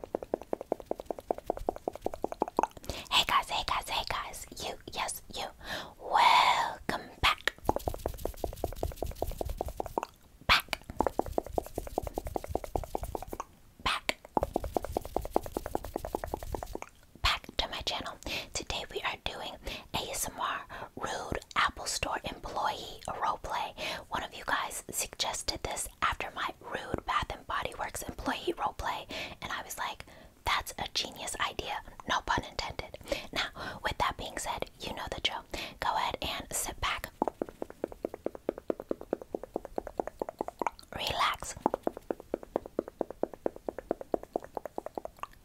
Hey guys, hey guys, hey guys, you, yes, you, welcome back. Back. Back. Back to my channel. Today we are doing ASMR Rude Apple Store Employee Roleplay. One of you guys suggested this after my rude Bath and Body Works employee roleplay, and I was like, that's a genius idea, no pun intended. Now, with that being said, you know the joke. Go ahead and sit back, relax,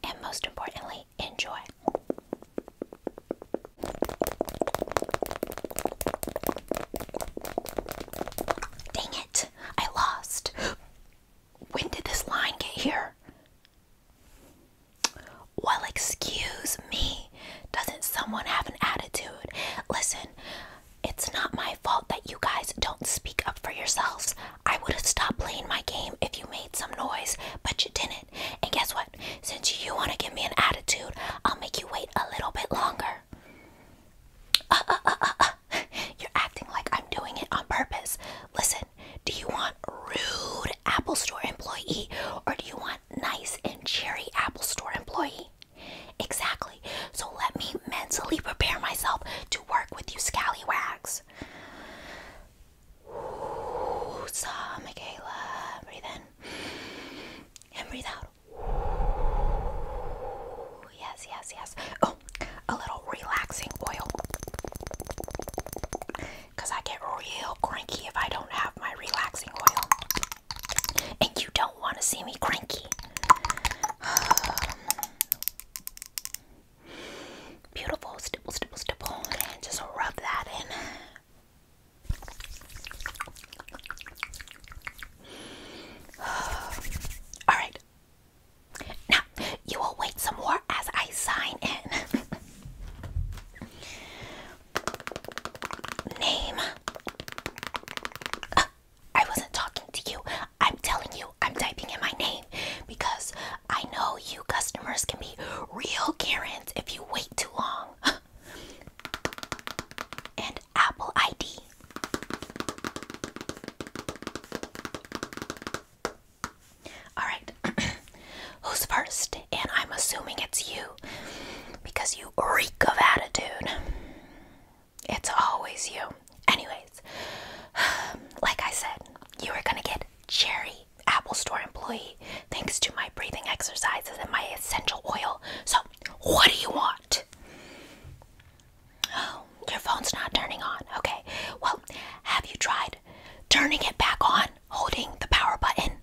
and most importantly, enjoy. Dang it! I lost. When did this line get here? Well, excuse me. Doesn't someone have an attitude? Listen, it's not my fault that you guys don't speak up for yourselves. I would have stopped playing my game if you made some noise, but you didn't. And guess what? Since you want to give me an attitude, I'll make you wait a little bit longer. You're acting like I'm doing it on purpose. Listen, do you want rude Apple Store employee or do you want nice and cheery Apple Store employee? Exactly. So let me mentally prepare myself to work with you scallywags. Ooh, Michaela. Breathe in and breathe out. Oh, yes, yes, yes. Oh, a little relaxing oil. Because I get real cranky if I don't have my relaxing oil. And you don't want to see me cranky. Beautiful, stipple, stipple, stipple. And just rub that in. All right. Now, you will wait some more as I sign in. Name. I wasn't talking to you. I'm telling you, I'm typing in my name because I know you customers can be real Karens if you wait too long. and Apple ID. Alright, who's first? And I'm assuming it's you because you reek of attitude. It's always you. Anyways, like I said, you are going to get cherry Apple Store employee thanks to my breathing exercises and my essential oil. So what do you want? Oh, your phone's not turning on. Okay. Well, have you tried turning it back on, holding the power button,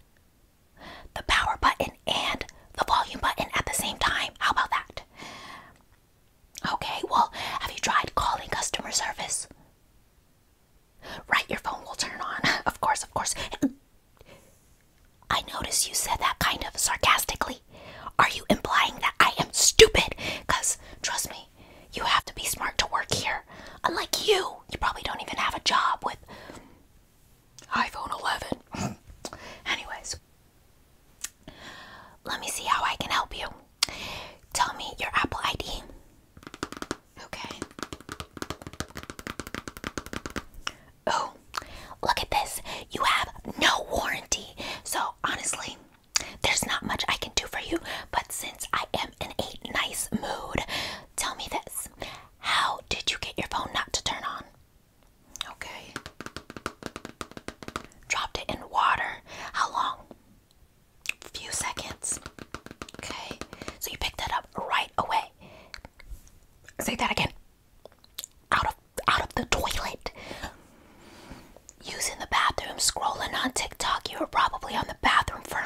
the power button, and the volume button at the same time? How about that? Okay, well, have you tried calling customer service? Right, your phone will turn on. Of course, of course. I noticed you said that kind of sarcastically. Are you implying that I am stupid? Because, trust me, you have to be smart to work here. Unlike you, you probably don't even have a job with iPhone 11. Anyways, let me see how I can help you. Tell me your Apple ID. Okay. Oh, look at this. You have no warranty. So, honestly, there's not much I can do for you. But since I am in a nice mood, tell me this How did you get your phone not to turn on? Okay. Dropped it in water. How long? A few seconds. Okay. So, you picked that up right away. Say that again. Out of out of the toilet. Using the bathroom, scrolling on TikTok. You were probably on the bathroom for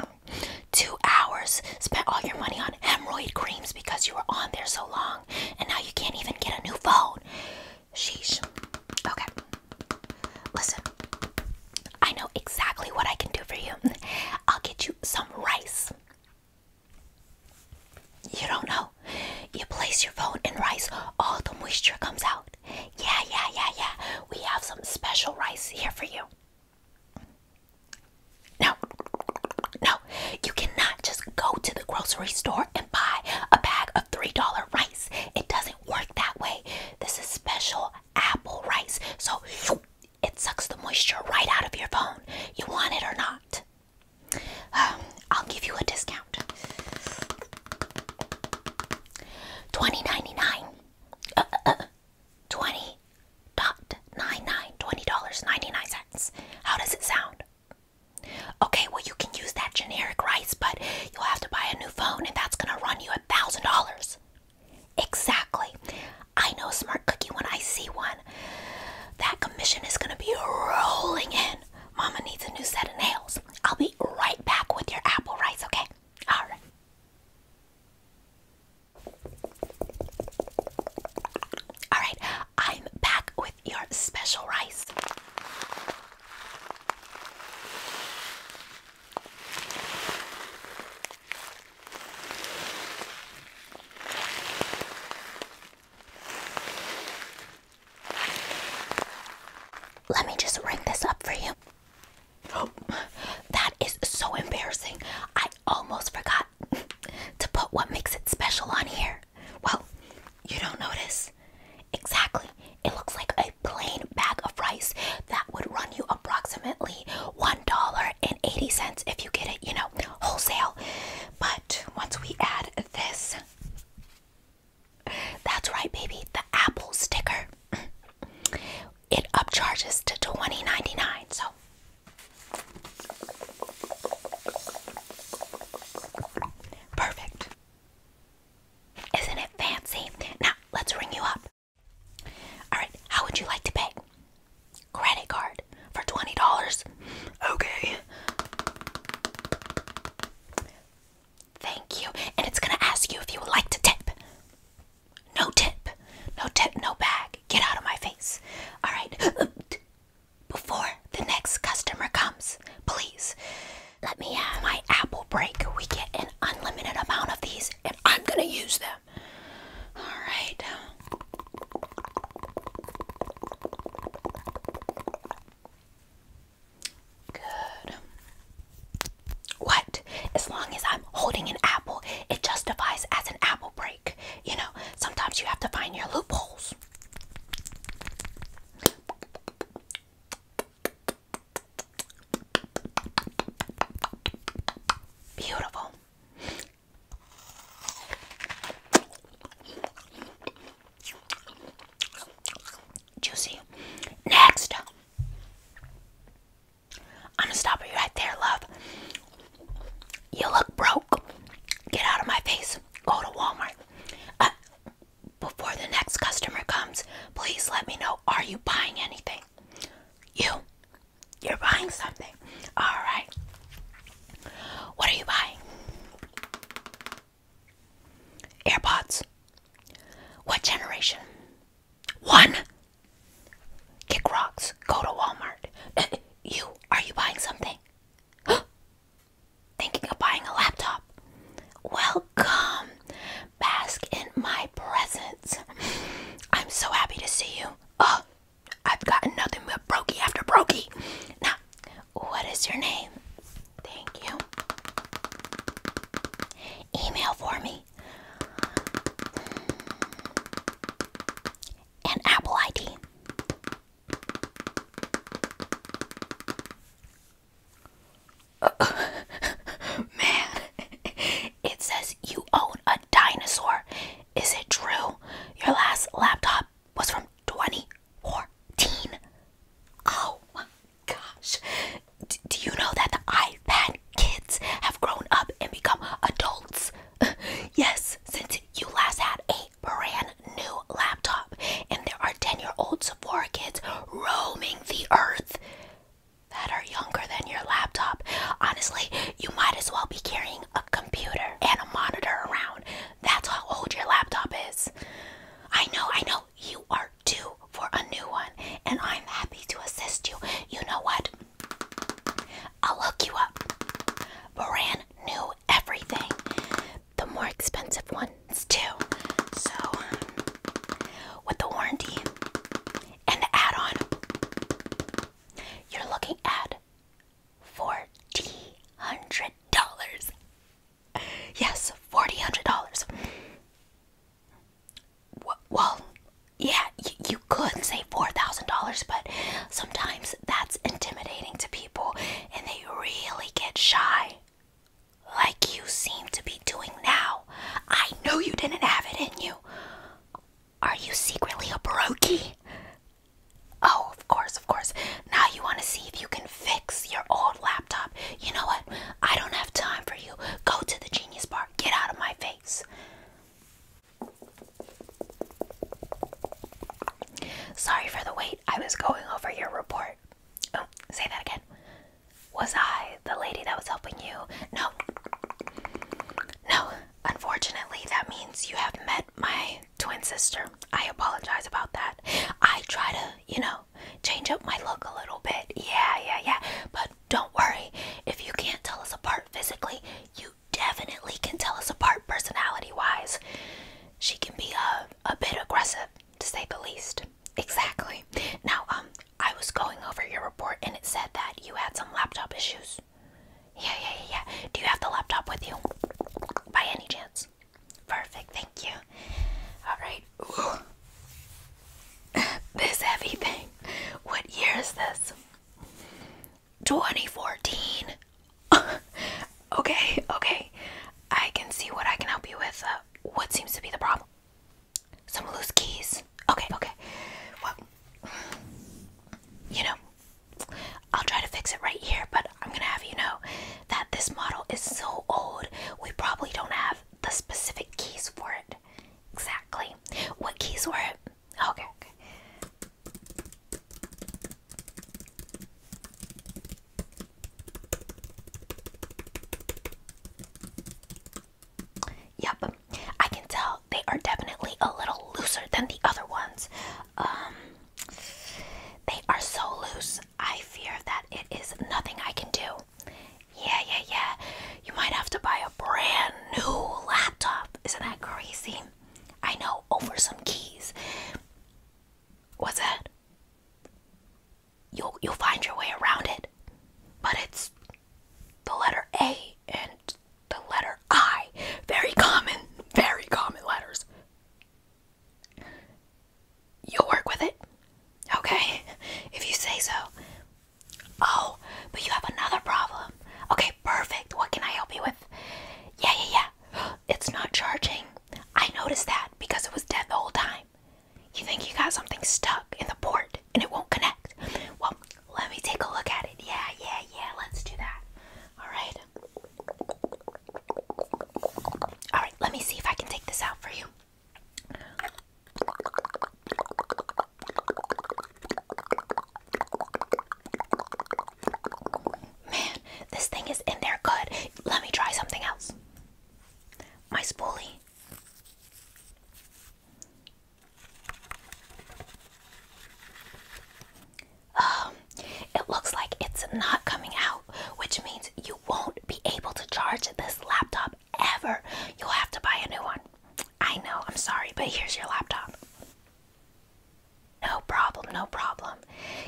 two hours. Spent all your money on hemorrhoid creams because you were on there so long, and now you can't even get a new phone. Sheesh. Okay. Listen. I know exactly what I can do for you. I'll get you some rice. You don't know. You place your phone in rice, all the moisture comes out. Yeah, yeah, yeah, yeah. We have some special rice here for you. No, no, you cannot just go to the grocery store and buy a bag of $3 rice. It doesn't work that way. This is special apple rice. So, it sucks the moisture right out of your phone. You want it or not? Um, I'll give you a discount. Twenty ninety nine. Uh, uh, uh, Twenty dot nine nine. Twenty dollars ninety nine cents. How does it sound? Okay, well you can use that generic rice, but you'll have to buy a new phone, and that's gonna run you a thousand dollars. Exactly. I know Smart Cookie when I see one. That commission is going to be rolling in. Mama needs a new set of nails. I'll be right back with your apple rice, okay? All right. All right, I'm back with your special rice. Let me just ring this up for you. Oh, that is so embarrassing. I almost forgot to put what makes it special on here. Well, you don't notice. Exactly. It looks like a plain bag of rice that would run you approximately $1.80 if you get it, you know, wholesale. But once we add this, that's right, baby, the Apple sticker. It upcharges to $20.99. So perfect. Isn't it fancy? Now let's ring you up. Alright, how would you like to pay? Credit card for $20. Okay. Thank you. And it's going to ask you if you would like to tip. No tip. No tip, no bag. Get out of my face. All right. Before the next customer comes, please let me have my apple break. We get an unlimited amount of these, and I'm going to use them. All right. Good. What? As long as I'm holding an apple, it justifies as an apple break. You know, sometimes you have to find your loopholes. Beautiful. Juicy. Next. I'm gonna stop you right there, love. You look broke. Get out of my face. Go to Walmart. Uh, before the next customer comes, please let me know are you buying anything? You. You're buying something. All right. What are you buying? AirPods. What generation? One. Kick rocks. Go to Walmart. you. Are you buying something? Thinking of buying a laptop. Welcome. Bask in my presence. I'm so happy to see you. Oh, I've gotten nothing but brokey after brokey. Now, what is your name? Thank you. Email for me. And Apple ID. Man, it says you own a dinosaur. Is it true? Your last laptop was from 2014. Oh my gosh. do you know that the iPad kids have grown up and become adults? yes, since you last had a brand new laptop, and there are 10 year old Sephora kids roaming the earth that are younger than your laptop. Honestly, you might as well be carrying a computer and a monitor around. That's how old your laptop is. I know, I know, you are due for a new one, and I'm happy to assist you. You know what? I'll hook you up. Brand new everything. The more expensive ones, too. So, um, with the warranty and the add on, you're looking at forty hundred dollars. Yes, forty hundred dollars. Well, yeah, you, you could save four thousand dollars, but sometimes that's intimidating to people, and they really get shy, like you seem to be doing now. I know you didn't have it in you. Are you secretly a Baroque? Oh, of course, of course. Now you want to see if you can fix your old laptop. You know what? I don't have time for you. Go to the Genius Bar. Get out of my face. Sorry for the wait. I was going over your report. Oh, say that again. Was I the lady that was helping you? No. No, unfortunately, that means you have met my twin sister. I apologize about that. I try to, you know, change up my look a little bit. Yeah, yeah, yeah. But don't worry, if you can't tell us apart physically, you definitely can tell us apart personality wise. She can be a, uh, a bit aggressive, to say the least. Exactly. Now, um, I was going over your report and it said that you had some laptop issues. Yeah, yeah, yeah, yeah. Do you have the laptop with you? By any chance? Perfect, thank you. Alright. this heavy thing. What year is this? 2014. okay, okay. I can see what I can help you with. Uh, what seems to be the problem? Some loose keys. Okay, okay. Well, you know, I'll try to fix it right here, but I'm gonna have you know that this model is so old, we probably don't have the specific keys for it. Exactly. What keys were it? Okay, Yep, I can tell they are definitely a little looser than the other ones. Um, they are so loose, I fear that it is nothing I can do. Yeah, yeah, yeah. You might have to buy a brand new laptop. Isn't that crazy? I know, over some keys. What's that? You'll you'll find your way around it. But it's the letter A and the letter I. Very common, very common letters. You'll work with it, okay? If you say so. Oh, but you have another problem. Okay, perfect. What can I help you with? Yeah, yeah, yeah. It's not charging. I noticed that because it was dead the whole time. You think you got something stuck in the port? and it won't connect. Well, let me take a look at it. Yeah, yeah, yeah, let's do that. Alright. Alright, let me see if I can take this out for you. Man, this thing is in there good. Let me try something else. My spoolie. Um, it looks like it's not coming out, which means you won't be able to charge this laptop ever. You'll have to buy a new one. I know, I'm sorry, but here's your laptop. No problem, no problem.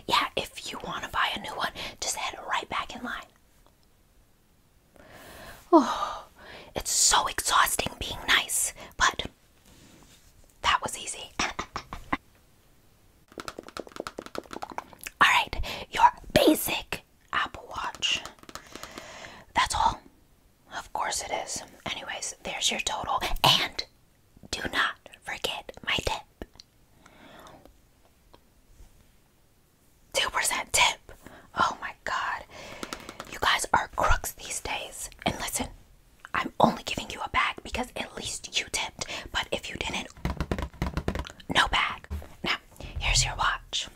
Yeah, if you want to buy a new one, just head right back in line. Oh, it's so exhausting being nice, but that was easy. all right, your basic Apple Watch. That's all. Of course it is. Anyways, there's your total. And do not forget my tip. 2% tip. Oh my god. You guys are crooks these days. And listen, I'm only giving you a bag because at least you tipped. But if you didn't, no bag. Now, here's your watch.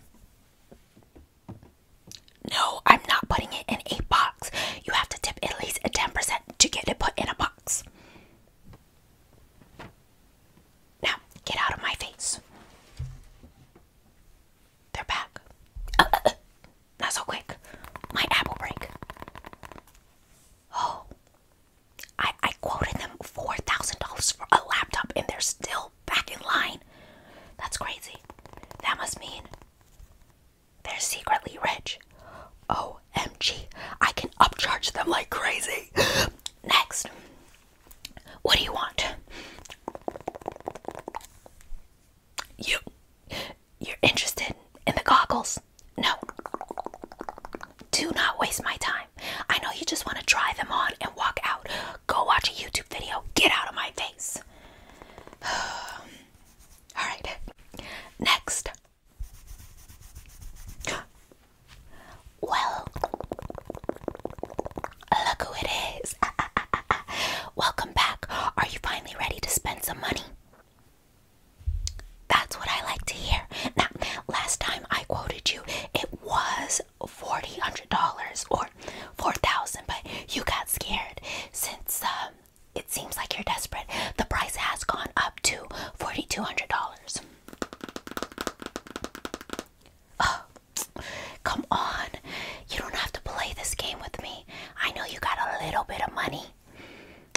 No, I'm not putting it in a box. You have to tip at least a 10% to get it put in a box. Now, get out of my face. They're back. Not so quick. My apple break. Oh. I, I quoted them $4,000 for a laptop and they're still back in line. That's crazy. That must mean they're secretly rich. OMG. I can upcharge them like crazy. Next. What do you want? You. You're interested in the goggles? No. Do not waste my time. I know you just want to try them on and walk out. Go watch a YouTube video. Get out of my face. Alright. Next. Well, look who it is. Welcome back. Are you finally ready to spend some money? That's what I like to hear. Now, last time I quoted you, it was $4,000 or 4000 but you got scared since um, it seems like you're desperate. The price has gone up to $4,200. Oh, Come on. You don't have to play this game with me. I know you got a little bit of money.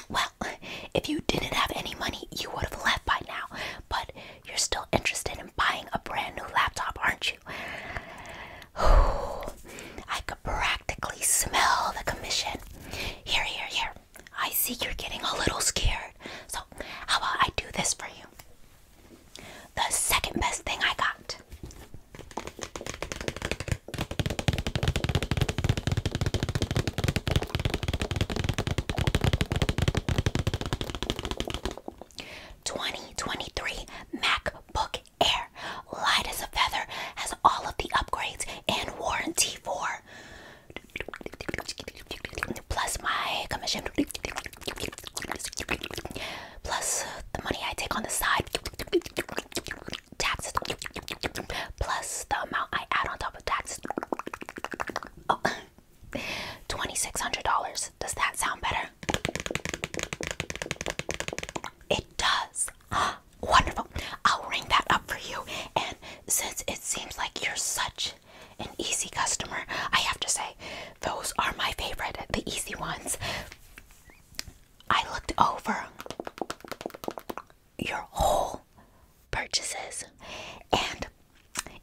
Well, if you didn't have any money, you would have left by now. But you're still interested in buying a brand new laptop, aren't you? I could practically smell the commission. Here, here, here. I see you're getting a little scared. So, how about I do this for you? The second best thing I got. Twenty twenty three MacBook Air, light as a feather, has all of the upgrades and warranty for. Plus my plus uh, the money I take on the side, taxes, plus the amount I add on top of taxes. $2,600. Does that sound better? It does. Wonderful. I'll ring that up for you. And since it seems like you're such an easy customer. I have to say, those are my favorite, the easy ones. I looked over your whole purchases, and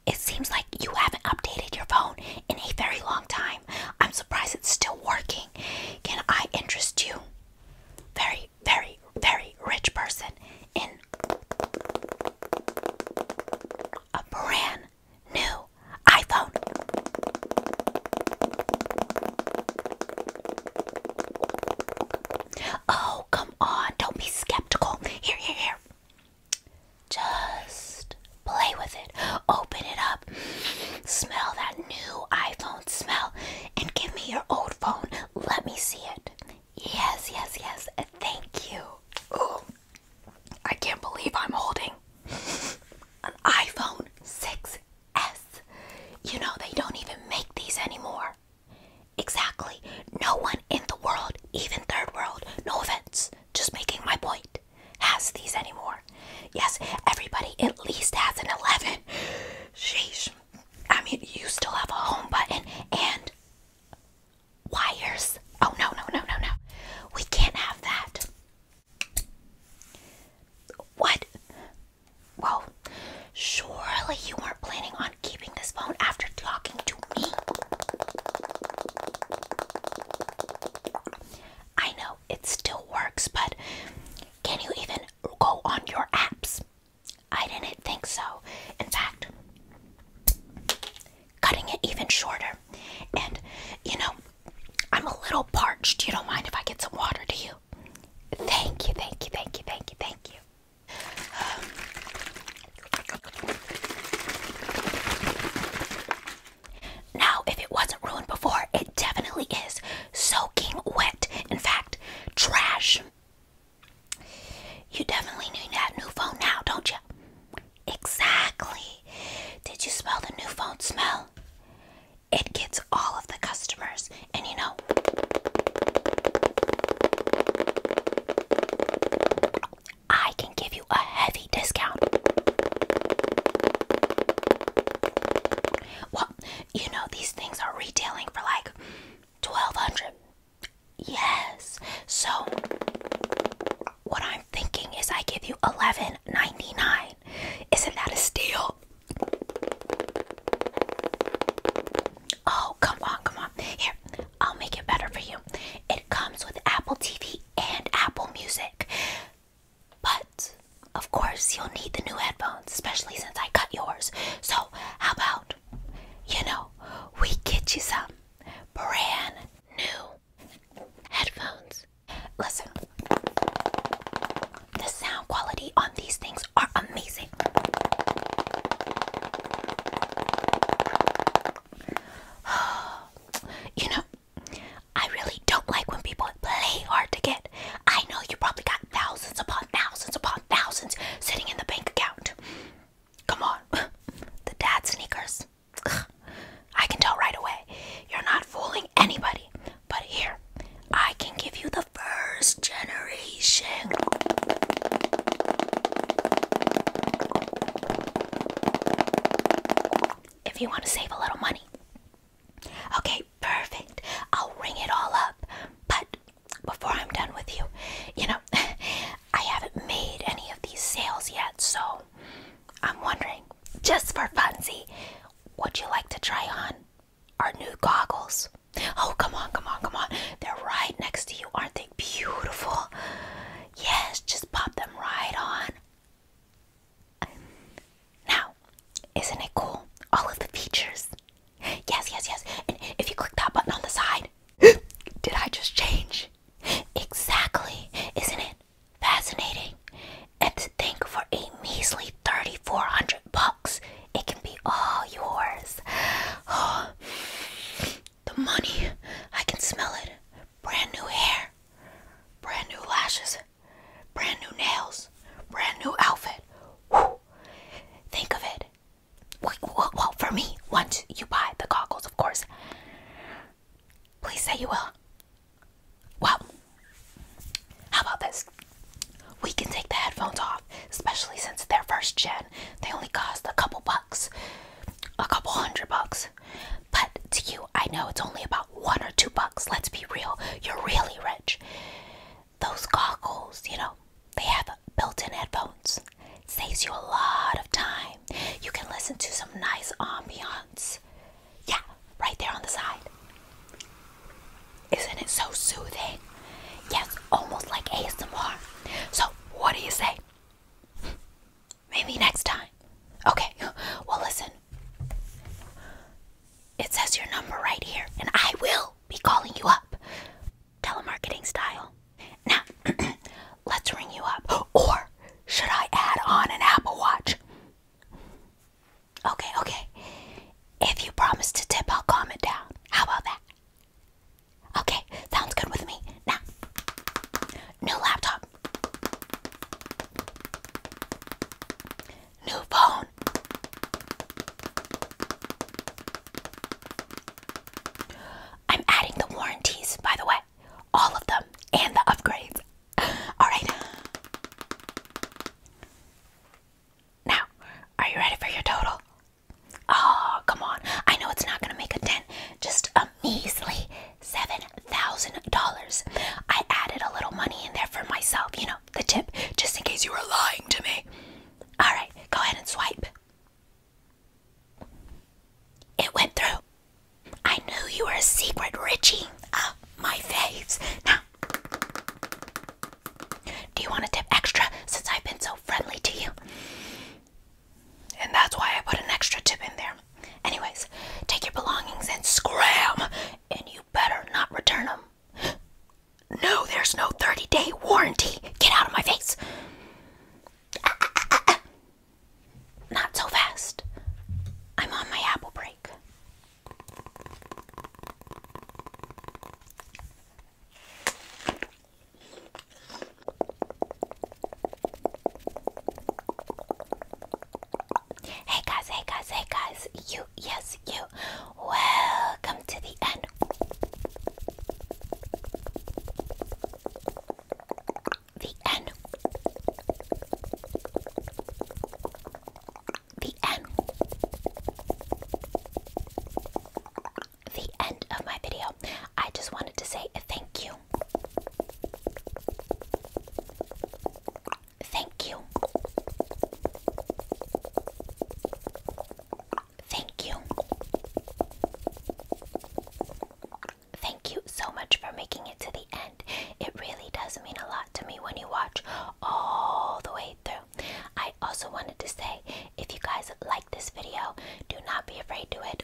it seems like you haven't updated your phone in a very long time. I'm surprised it's still working. Can I interest you? Very, very, very rich person in a brand New iPhone. Oh, come on. Don't be skeptical. Here, here, here. Just play with it. Open it up. Smell that new iPhone smell. And give me your old phone. Let me see it. Yes, yes, yes. Thank you. I can't believe I'm holding an iPhone 6S. You know, they don't even make these anymore. Exactly. No one in the world, even third world, no offense, just making my point, has these anymore. Yes, everybody at least has an 11. Sheesh. I mean, you still have a home button and wires. Oh, no, no, no, no, no. We can't have that. What? Well, surely you weren't planning on keeping this phone after talking to me. I know it still works, but can you even go on your apps? I didn't think so. In fact, cutting it even shorter. And you know, I'm a little parched. You don't mind if I get some water to you? Thank you, thank you, thank you, thank you, thank you. Now, if it wasn't ruined before, it definitely is soaking wet. In fact, trash. You definitely need that new phone now, don't you? Exactly. Did you smell the new phone smell? It gets all of the customers, and you know, I can give you a heavy discount. Well, you know, these things are retailing for like 1200 Yes. So what I'm thinking is I give you 11.99. Isn't that a steal? Oh, come on, come on. Here, I'll make it better for you. It comes with Apple TV and Apple Music. But of course, you'll need the new headphones, especially since I cut yours. So, how about, you know, we get you some brand new headphones. Listen, the sound quality on these things are amazing. you know, I really don't like when people play hard to get. I know you probably got thousands upon thousands upon thousands sitting in the bank account. Come on. the dad sneakers. I can tell right away. You're not fooling anybody. But here, I can give you the first generation. If you want to save a little money. Okay, perfect. I'll ring it all up. But before I'm done with you, you know, I haven't made any of these sales yet, so I'm wondering, just for funsy, would you like to try on our new goggles? Oh, come on, come on, come on. They're right next to you. Aren't they beautiful? Yes, just pop them right on. Now, isn't it cool? All of the features. Yes, yes, yes. And if you click that button on the side, did I just change? Exactly, isn't it fascinating? And to think for a measly 3400 bucks, it can be all yours. Oh, the money, I can smell it. Brand new hair, brand new lashes, brand new nails, brand new outfit. Think of it well, for me, once you buy the goggles, of course. Please say you will. Well, how about this? We can take the headphones off, especially since they're first gen. They only cost a couple bucks, a couple hundred bucks. But to you, I know it's only about one or two bucks. Let's be real. You're really rich. Those goggles, you know, they have built-in headphones. It saves you a lot of time. You can listen to some nice ambiance. Yeah, right there on the side. Isn't it so soothing? Yes, almost like ASMR. So, what do you say? Maybe next time. Okay, well, listen. It says your number right here, and I will be calling you up telemarketing style. Now, let's ring you up. Or should I add on an Apple Watch? Okay, okay. If you promise to tip, I'll calm it down. How about that? Okay, sounds good with me. Now, new laptop, new phone, I'm adding the warranties, by the way, all of them, and the upgrades. All right. Now, are you ready for your total? Oh, come on. I know it's not going to make a dent. Just a measly $7,000. I added a little money in there for myself, you know, the tip, just in case you were lying to me. All right, go ahead and swipe. It went through. I knew you were a secret Richie. of ah, my face. Now, do you want a tip extra since I've been so friendly to you? And that's why I put an extra tip in there. Anyways, take your belongings and scram, and you better not return them. No, there's no 30 day warranty. Get out of my face. Not so fast. I'm on my apple break. Hey guys, hey guys, hey guys. You, yes, you. Welcome to the end the end. The end. The end of my video. I just wanted to say thank you. Thank you. Thank you. Thank you so much for making it to the end. It really does mean a lot to me when you watch all the way through. I also wanted to say if you guys like this video, do not be afraid to it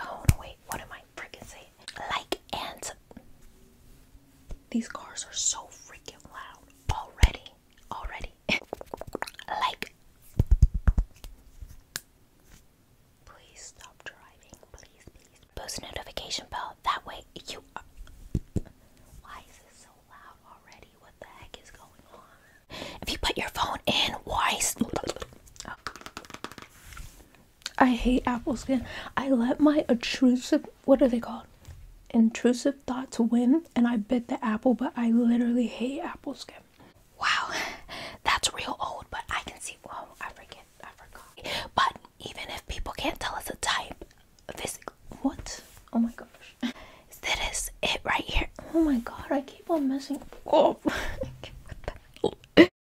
Oh no, wait. What am I freaking saying? Like ants. These cars are so freaking loud already. Already. like. Please stop driving. Please, please. Post notification bell. That way you. Why is it so loud already? What the heck is going on? If you put your phone in, why? Oh. I hate apple skin. I let my intrusive what are they called? Intrusive thoughts win and I bit the apple, but I literally hate apple skin. Wow, that's real old, but I can see well I forget I forgot. But even if people can't tell us a type, physical. what? Oh my gosh. Is That is it right here. Oh my god, I keep on messing oh up.